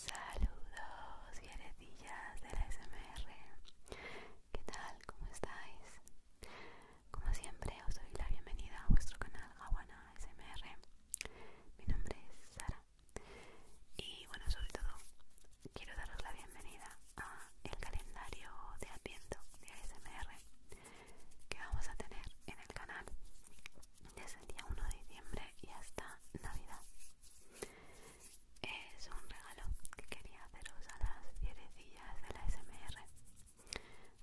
Saludos guerretillas de la SMR ¿Qué tal? ¿Cómo estáis? Como siempre os doy la bienvenida a vuestro canal Aguana SMR Mi nombre es Sara Y bueno, sobre todo quiero daros la bienvenida a el calendario de Adviento de ASMR que vamos a tener en el canal desde el día 1 de diciembre y hasta navidad es un regalo que quería haceros a las fierecillas de la smr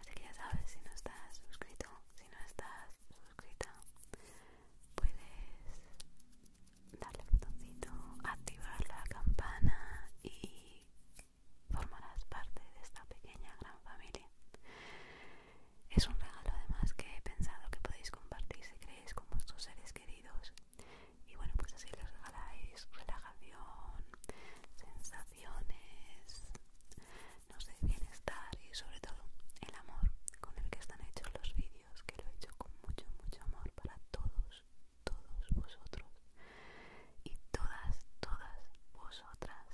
así que ya sabes si no estás suscrito si no estás suscrita puedes darle al botoncito activar la campana y formarás parte de esta pequeña gran familia es un regalo además que he pensado que podéis compartir si queréis con vuestros seres queridos. Y bueno, pues así les regaláis relajación, sensaciones, no sé, bienestar y sobre todo el amor con el que están hechos los vídeos, que lo he hecho con mucho, mucho amor para todos, todos vosotros y todas, todas vosotras.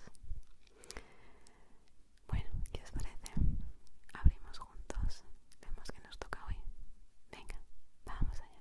Bueno, ¿qué os parece? Abrimos juntos. Vemos que nos toca hoy. Venga, vamos allá.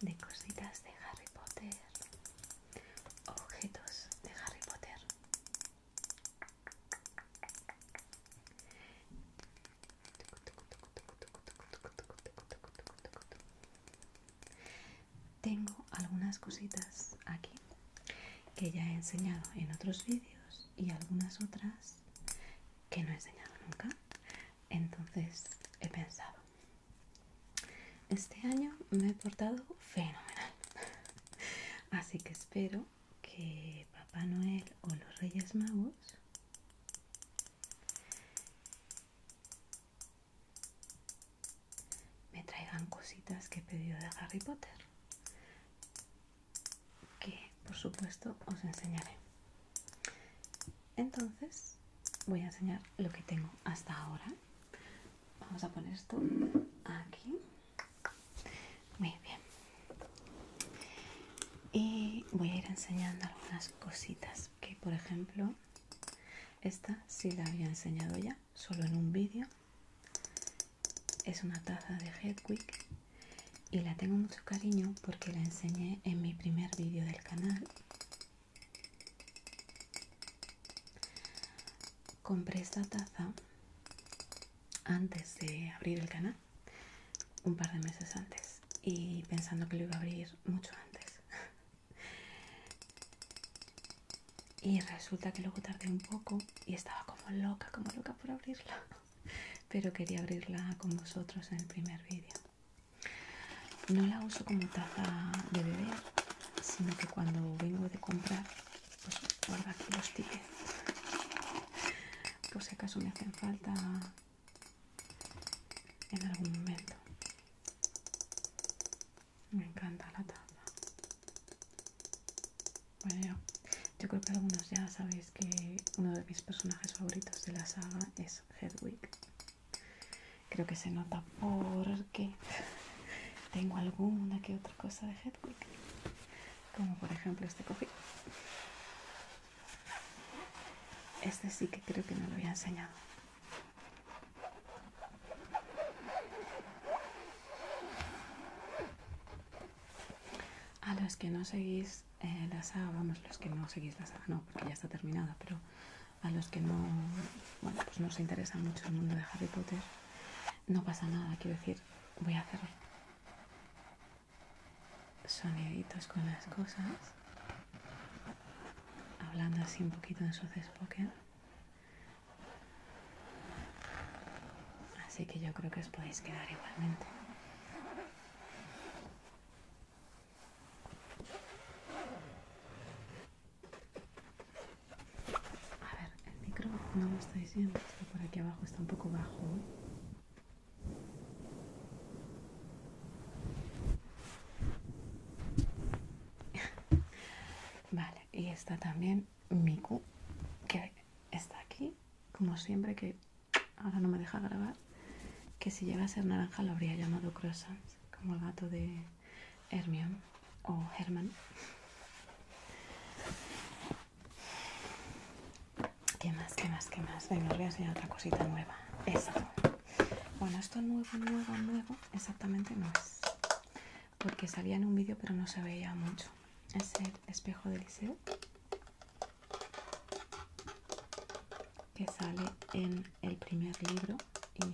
de cositas de Harry Potter, objetos de Harry Potter. Tengo algunas cositas aquí que ya he enseñado en otros vídeos y algunas otras que no he enseñado nunca. Entonces he pensado, este año me he portado fenomenal. Así que espero que Papá Noel o los Reyes Magos me traigan cositas que he pedido de Harry Potter. Que por supuesto os enseñaré. Entonces voy a enseñar lo que tengo hasta ahora. Vamos a poner esto aquí. Muy bien. Y voy a ir enseñando algunas cositas que, por ejemplo, esta sí la había enseñado ya, solo en un vídeo. Es una taza de Hedwig y la tengo mucho cariño porque la enseñé en mi primer vídeo del canal Compré esta taza antes de abrir el canal, un par de meses antes, y pensando que lo iba a abrir mucho antes. y resulta que luego tardé un poco y estaba como loca, como loca por abrirla. Pero quería abrirla con vosotros en el primer vídeo. No la uso como taza de beber, sino que cuando vengo de comprar, pues guardo aquí los tickets. Por si acaso me hacen falta en algún momento. Me encanta la taza. Bueno, yo creo que algunos ya sabéis que uno de mis personajes favoritos de la saga es Hedwig. Creo que se nota porque tengo alguna que otra cosa de Hedwig, como por ejemplo este cojín. Este sí que creo que no lo había enseñado. A los que no seguís eh, la saga, vamos, los que no seguís la saga, no, porque ya está terminada, pero a los que no, bueno, pues no se interesa mucho el mundo de Harry Potter, no pasa nada, quiero decir, voy a hacer soniditos con las cosas, hablando así un poquito en su Pocket. Así que yo creo que os podéis quedar igualmente. A ver, el micro no lo estáis diciendo, por aquí abajo, está un poco bajo. Vale, y está también Miku, que está aquí, como siempre, que ahora no me deja grabar, que si llega a ser naranja lo habría llamado croissants, como el gato de Hermione o Herman. ¿Qué más? ¿Qué más? ¿Qué más? Venga, voy a enseñar otra cosita nueva. eso, Bueno, esto nuevo, nuevo, nuevo exactamente no es. Porque salía en un vídeo pero no se veía mucho. Es el espejo de liceo que sale en el primer libro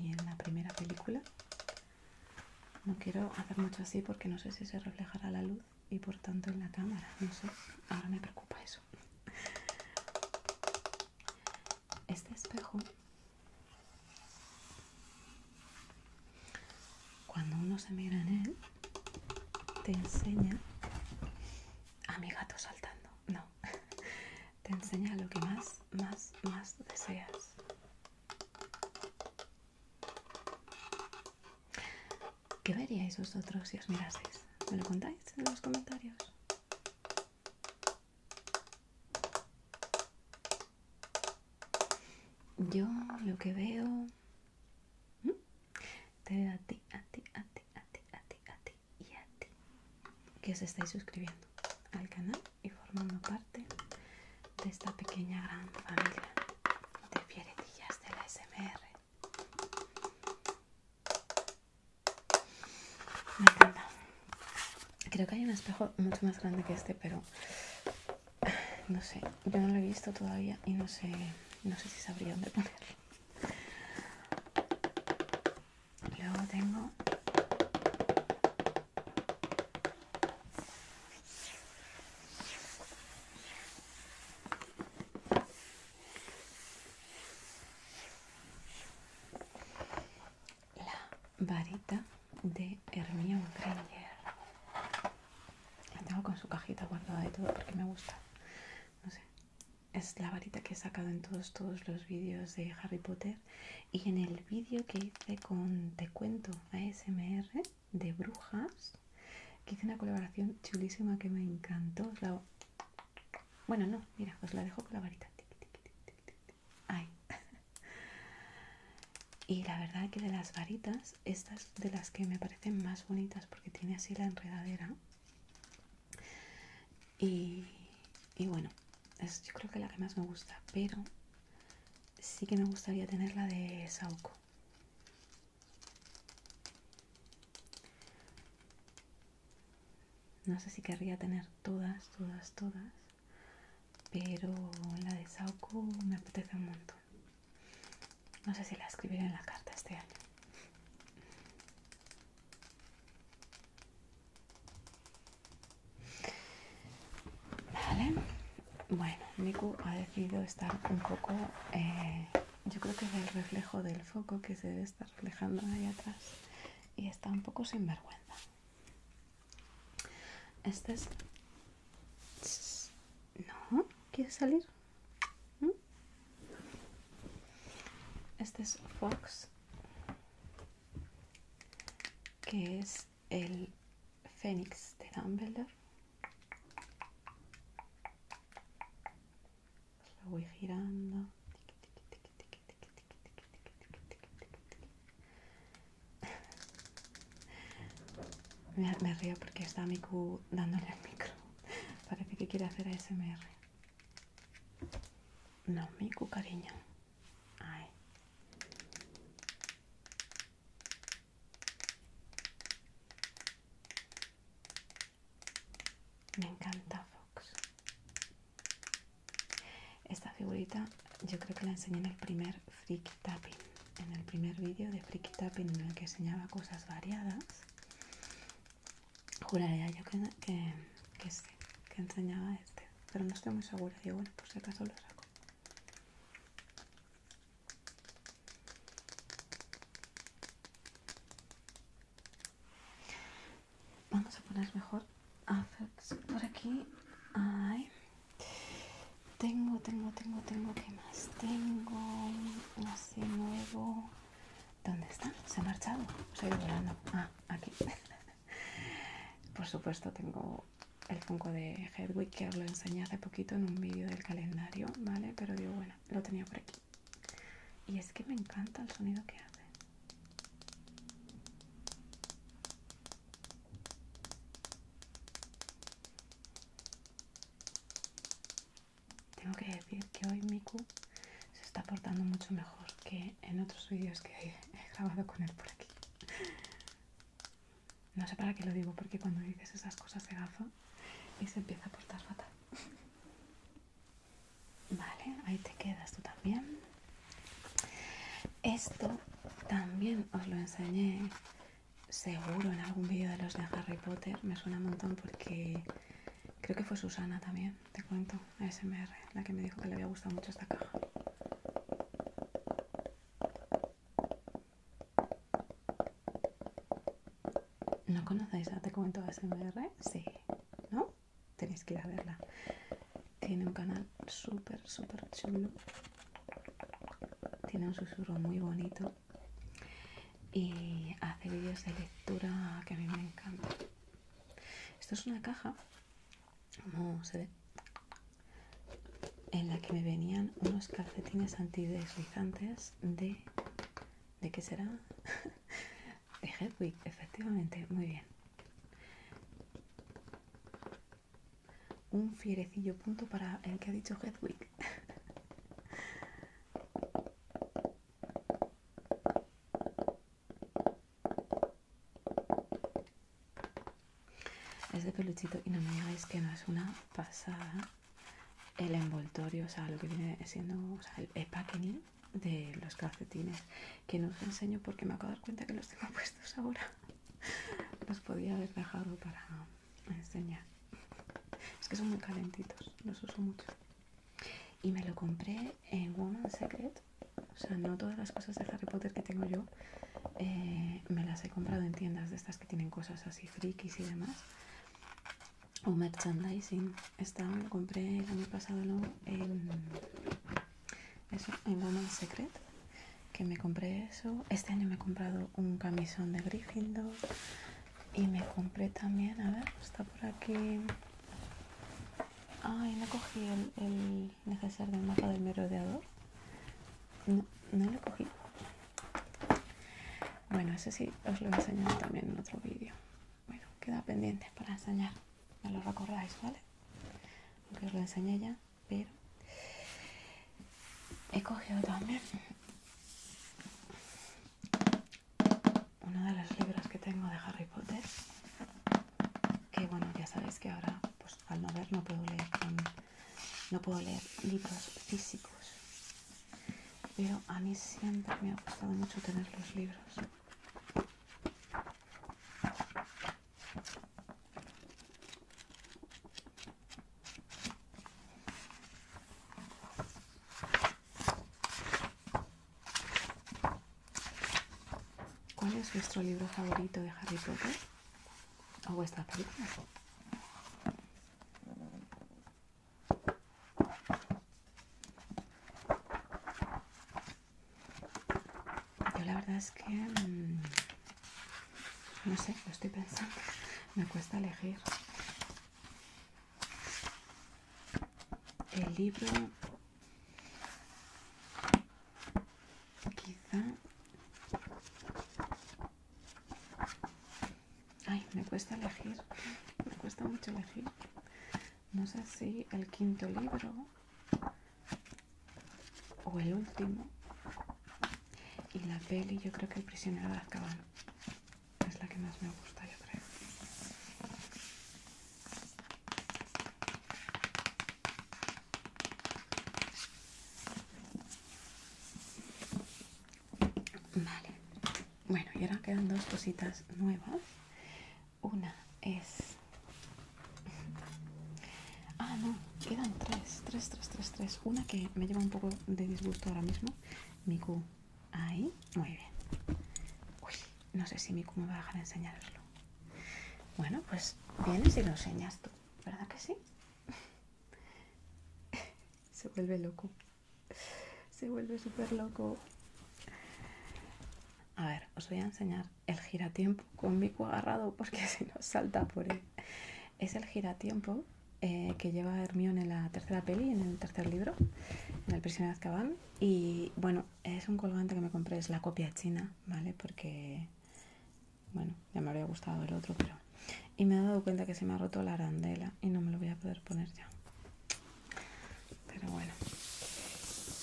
y en la primera película. No quiero hacer mucho así porque no sé si se reflejará la luz y por tanto en la cámara. No sé, ahora me preocupa eso. Este espejo, cuando uno se mira en él, te enseña a mi gato saltando. No, te enseña lo que más, más, más deseas. ¿Qué veríais vosotros si os miraseis? ¿Me lo contáis en los comentarios? Yo lo que veo... ¿Mm? Te veo a ti, a ti, a ti, a ti, a ti, a ti, y a ti que os estáis suscribiendo al canal y formando parte de esta pequeña gran familia de fieretillas de la SMR. Me Creo que hay un espejo mucho más grande que este, pero no sé, yo no lo he visto todavía y no sé, no sé si sabría dónde ponerlo. Luego tengo la varita de Hermione Granger. La tengo con su cajita guardada de todo porque me gusta. No sé. Es la varita que he sacado en todos, todos los vídeos de Harry Potter y en el vídeo que hice con Te Cuento ASMR de Brujas, que hice una colaboración chulísima que me encantó. Bueno, no, mira, os la dejo con la varita. Y la verdad que de las varitas, estas de las que me parecen más bonitas porque tiene así la enredadera. Y, bueno, es yo creo que la que más me gusta, pero sí que me gustaría tener la de Saoko No sé si querría tener todas, todas, todas, pero la de Sauco me apetece un montón. No sé si la escribiré en la carta este año. Vale, bueno, Miku ha decidido estar un poco, eh, yo creo que es el reflejo del foco que se debe estar reflejando ahí atrás y está un poco sinvergüenza Este es... No, ¿quieres salir? ¿Mm? Este es Fox que es el Fénix de Dumbledore. Lo voy girando. Me, me río porque está Miku dándole el micro. Parece que quiere hacer ASMR. No, Miku, cariño. Ay. Me encanta Fox. Esta figurita yo creo que la enseñé en el primer Freak Tapping, en el primer vídeo de Freak Tapping en el que enseñaba cosas variadas. Juraría yo que, que que enseñaba este pero no estoy muy segura. yo bueno, por si acaso lo saco. Vamos a poner mejor por aquí. Ay. Tengo, tengo, tengo, tengo, ¿qué más? Tengo así nuevo. ¿Dónde está? Se ha marchado. estoy ha volando. Ah, aquí. Por supuesto tengo el Funko de Hedwig que os lo enseñé hace poquito en un vídeo del calendario, ¿vale? Pero digo, bueno, lo tenía por aquí. Y es que me encanta el sonido que hace. Tengo que decir que hoy Miku se está portando mucho mejor que en otros vídeos que he grabado con él por aquí. No sé para qué lo digo, porque cuando dices esas cosas se gafa y se empieza a portar fatal. Vale, ahí te quedas tú también. Esto también os lo enseñé seguro en algún vídeo de los de Harry Potter. Me suena un montón porque creo que fue Susana también, te cuento, ASMR la que me dijo que le había gustado mucho esta caja. ¿No conocéis a Te Comento ASMR? Sí, ¿no? Tenéis que ir a verla. Tiene un canal súper, súper chulo. Tiene un susurro muy bonito. Y hace vídeos de lectura que a mí me encanta. Esto es una caja Vamos se ve, en la que me venían unos calcetines antideslizantes de... ¿De qué será? de Hedwig, efectivamente, muy bien. Un fierecillo punto para el que ha dicho Hedwig. Es de peluchito y no me digáis que no es una pasada el envoltorio, o sea, lo que viene siendo o sea, el packaging de los calcetines. Que no os enseño porque me acabo de dar cuenta que los tengo puestos ahora. Los podía haber dejado para enseñar. Es que son muy calentitos, los uso mucho. Y me lo compré en Woman's Secret o sea, no todas las cosas de Harry Potter que tengo yo eh, me las he comprado en tiendas de estas que tienen cosas así frikis y demás. O merchandising. Esta lo compré el año pasado ¿no? en, eso, en Secret. Que me compré eso. Este año me he comprado un camisón de Gryffindor. Y me compré también, a ver, está por aquí. Ay, no cogí el el del mapa del merodeador? No, no lo cogí. Bueno, ese sí os lo he enseñado también en otro vídeo. Bueno, queda pendiente para enseñar. Me lo recordáis, ¿vale? Aunque os lo enseñé ya, pero he cogido también uno de los libros que tengo de Harry Potter que bueno ya sabéis que ahora pues, al no ver no puedo leer no puedo leer libros físicos pero a mí siempre me ha gustado mucho tener los libros ¿Cuál es vuestro libro favorito de Harry Potter? o esta película. Yo la verdad es que mm, no sé, lo estoy pensando, me cuesta elegir. El libro quizá ay me cuesta elegir me cuesta mucho elegir no sé si el quinto libro o el último y la peli yo creo que el prisionero de Azkaban es la que más me gusta yo creo Vale, bueno, y ahora quedan dos cositas nuevas. Una es... Ah, no, quedan tres, tres, tres, tres, tres. Una que me lleva un poco de disgusto ahora mismo. Miku, ahí, muy bien. Uy, no sé si Miku me va a dejar enseñaroslo. Bueno, pues vienes y lo enseñas tú. ¿Verdad que sí? Se vuelve loco. Se vuelve súper loco. A ver, os voy a enseñar el giratiempo con Miku agarrado porque si no salta por él. Es el giratiempo eh, que lleva Hermione en la tercera peli, en el tercer libro, en El prisionero de Azkaban. Y bueno, es un colgante que me compré, es la copia china, ¿vale? Porque bueno, ya me habría gustado el otro, pero... Y me he dado cuenta que se me ha roto la arandela y no me lo voy a poder poner ya. Pero bueno.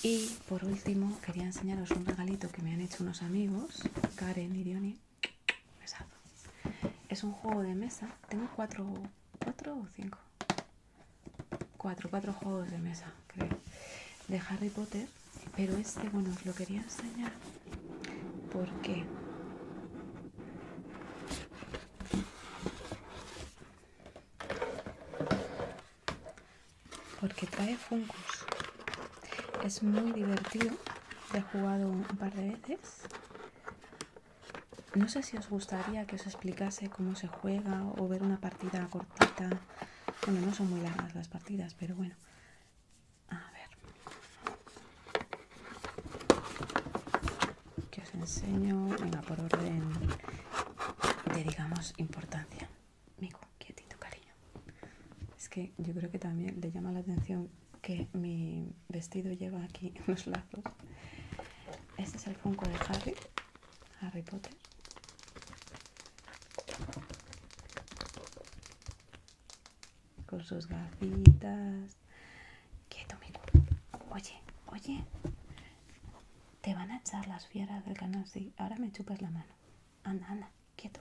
Y por último, quería enseñaros un regalito que me han hecho unos amigos, Karen y Diony. Es un juego de mesa. Tengo cuatro, cuatro o cinco. Cuatro, cuatro juegos de mesa, creo. De Harry Potter pero este bueno os lo quería enseñar porque porque trae Funkus es muy divertido he jugado un par de veces no sé si os gustaría que os explicase cómo se juega o ver una partida cortita bueno no son muy largas las partidas pero bueno a ver, que os enseño, venga, por orden de, digamos, importancia. Mico, quietito, cariño. Es que yo creo que también le llama la atención que mi vestido lleva aquí unos lazos. Este es el Funko de Harry, Harry Potter con sus gafitas. Quieto, Miku. Oye, oye. Te van a echar las fieras del canal. Sí, ahora me chupas la mano. Anda, anda, quieto.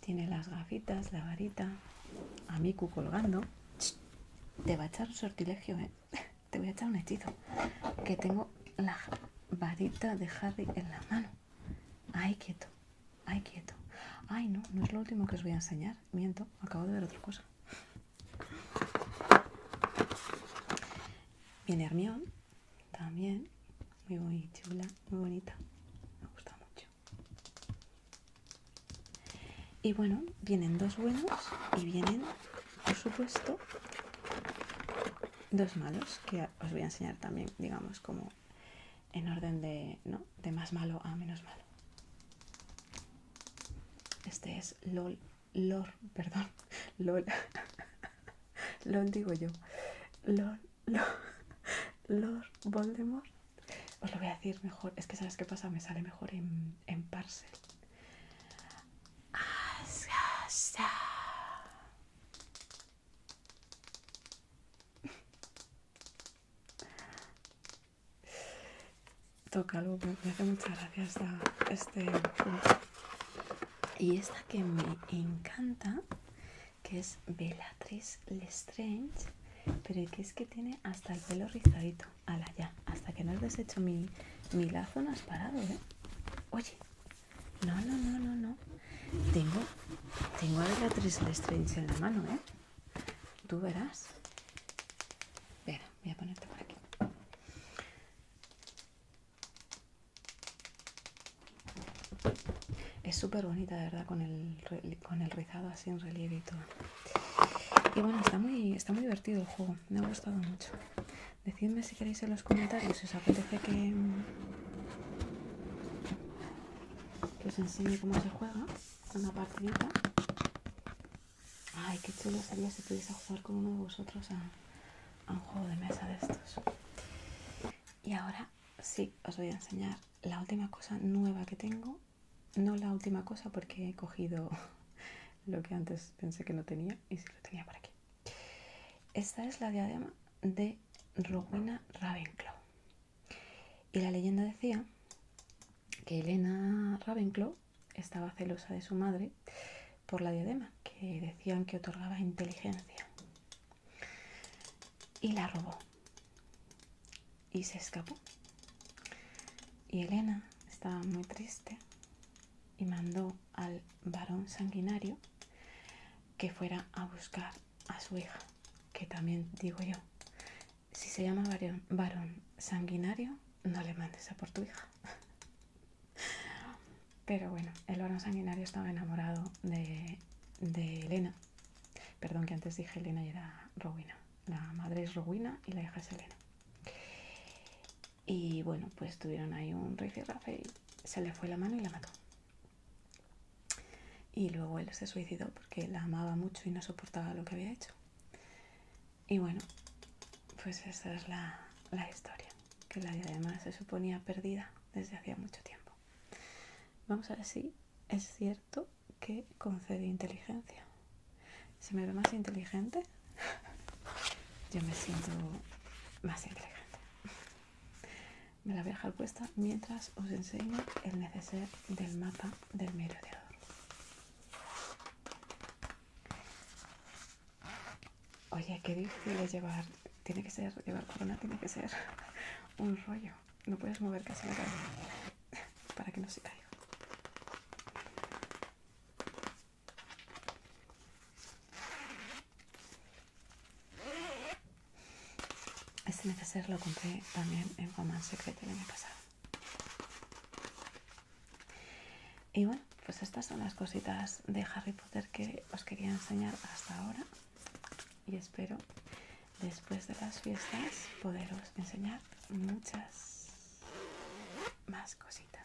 Tiene las gafitas, la varita. A colgando. Te va a echar un sortilegio, ¿eh? Te voy a echar un hechizo. Que tengo la varita de Harry en la mano. Ay, quieto. Ay, quieto. Ay, no, no es lo último que os voy a enseñar. Miento, acabo de ver otra cosa. Bien Hermión, también. Muy muy chula, muy bonita. Me gusta mucho. Y bueno, vienen dos buenos y vienen, por supuesto, dos malos que os voy a enseñar también, digamos, como en orden de, más malo a menos malo. Este es LOL, lor perdón, LOL, LOL digo yo, LOL, LOL, Voldemort. Os lo voy a decir mejor, es que sabes qué pasa, me sale mejor en, en parcel. Toca algo, me hace mucha gracia este Y esta que me encanta, que es Bellatrix Lestrange, pero que es que tiene hasta el pelo rizadito. Ala, ya, hasta que no has deshecho mi, mi lazo no has parado, ¿eh? Oye, no, no, no, no, no. Tengo, tengo a de Lestrange en la mano, ¿eh? Tú verás. voy a ponerte por aquí. Es súper bonita, de verdad, con el, con el rizado así en relieve y todo. Y bueno, está muy, está muy divertido el juego. Me ha gustado mucho. Decidme si queréis los comentarios si os apetece mm, que, os enseñe cómo se juega una partidita. Ay, qué chulo sería si pudiese jugar con uno de vosotros a, a un juego de mesa de estos. Y ahora sí, os voy a enseñar la última cosa nueva que tengo. No la última cosa porque he cogido lo que antes pensé que no tenía y sí lo tenía por aquí. Esta es la diadema de Rowena Ravenclaw. Y la leyenda decía que Elena Ravenclaw estaba celosa de su madre por la diadema, que decían que otorgaba inteligencia. Y la robó. Y se escapó. Y Elena estaba muy triste y mandó al varón sanguinario que fuera a buscar a su hija, que también digo yo, si se llama varón, sanguinario, no le mandes a por tu hija. Pero bueno, el varón sanguinario estaba enamorado de, de Elena. Perdón que antes dije Elena y era Rowina La madre es Rowina y la hija es Elena. Y bueno, pues tuvieron ahí un rafe y se le fue la mano y la mató. Y luego él se suicidó porque la amaba mucho y no soportaba lo que había hecho. Y bueno, pues esa es la, historia, que la además se suponía perdida desde hacía mucho tiempo. Vamos a ver si es cierto que concede inteligencia. ¿Se me ve más inteligente? Yo me siento más inteligente me la voy a dejar puesta mientras os enseño el neceser del mapa del oro. Oye, qué difícil es llevar, tiene que ser, llevar corona tiene que ser un rollo. No puedes mover casi la cabeza para que no se caiga. Este necesario lo compré también en Coman secreto el año pasado. Y bueno, pues estas son las cositas de Harry Potter que os quería enseñar hasta ahora. Y espero después de las fiestas poderos enseñar muchas más cositas.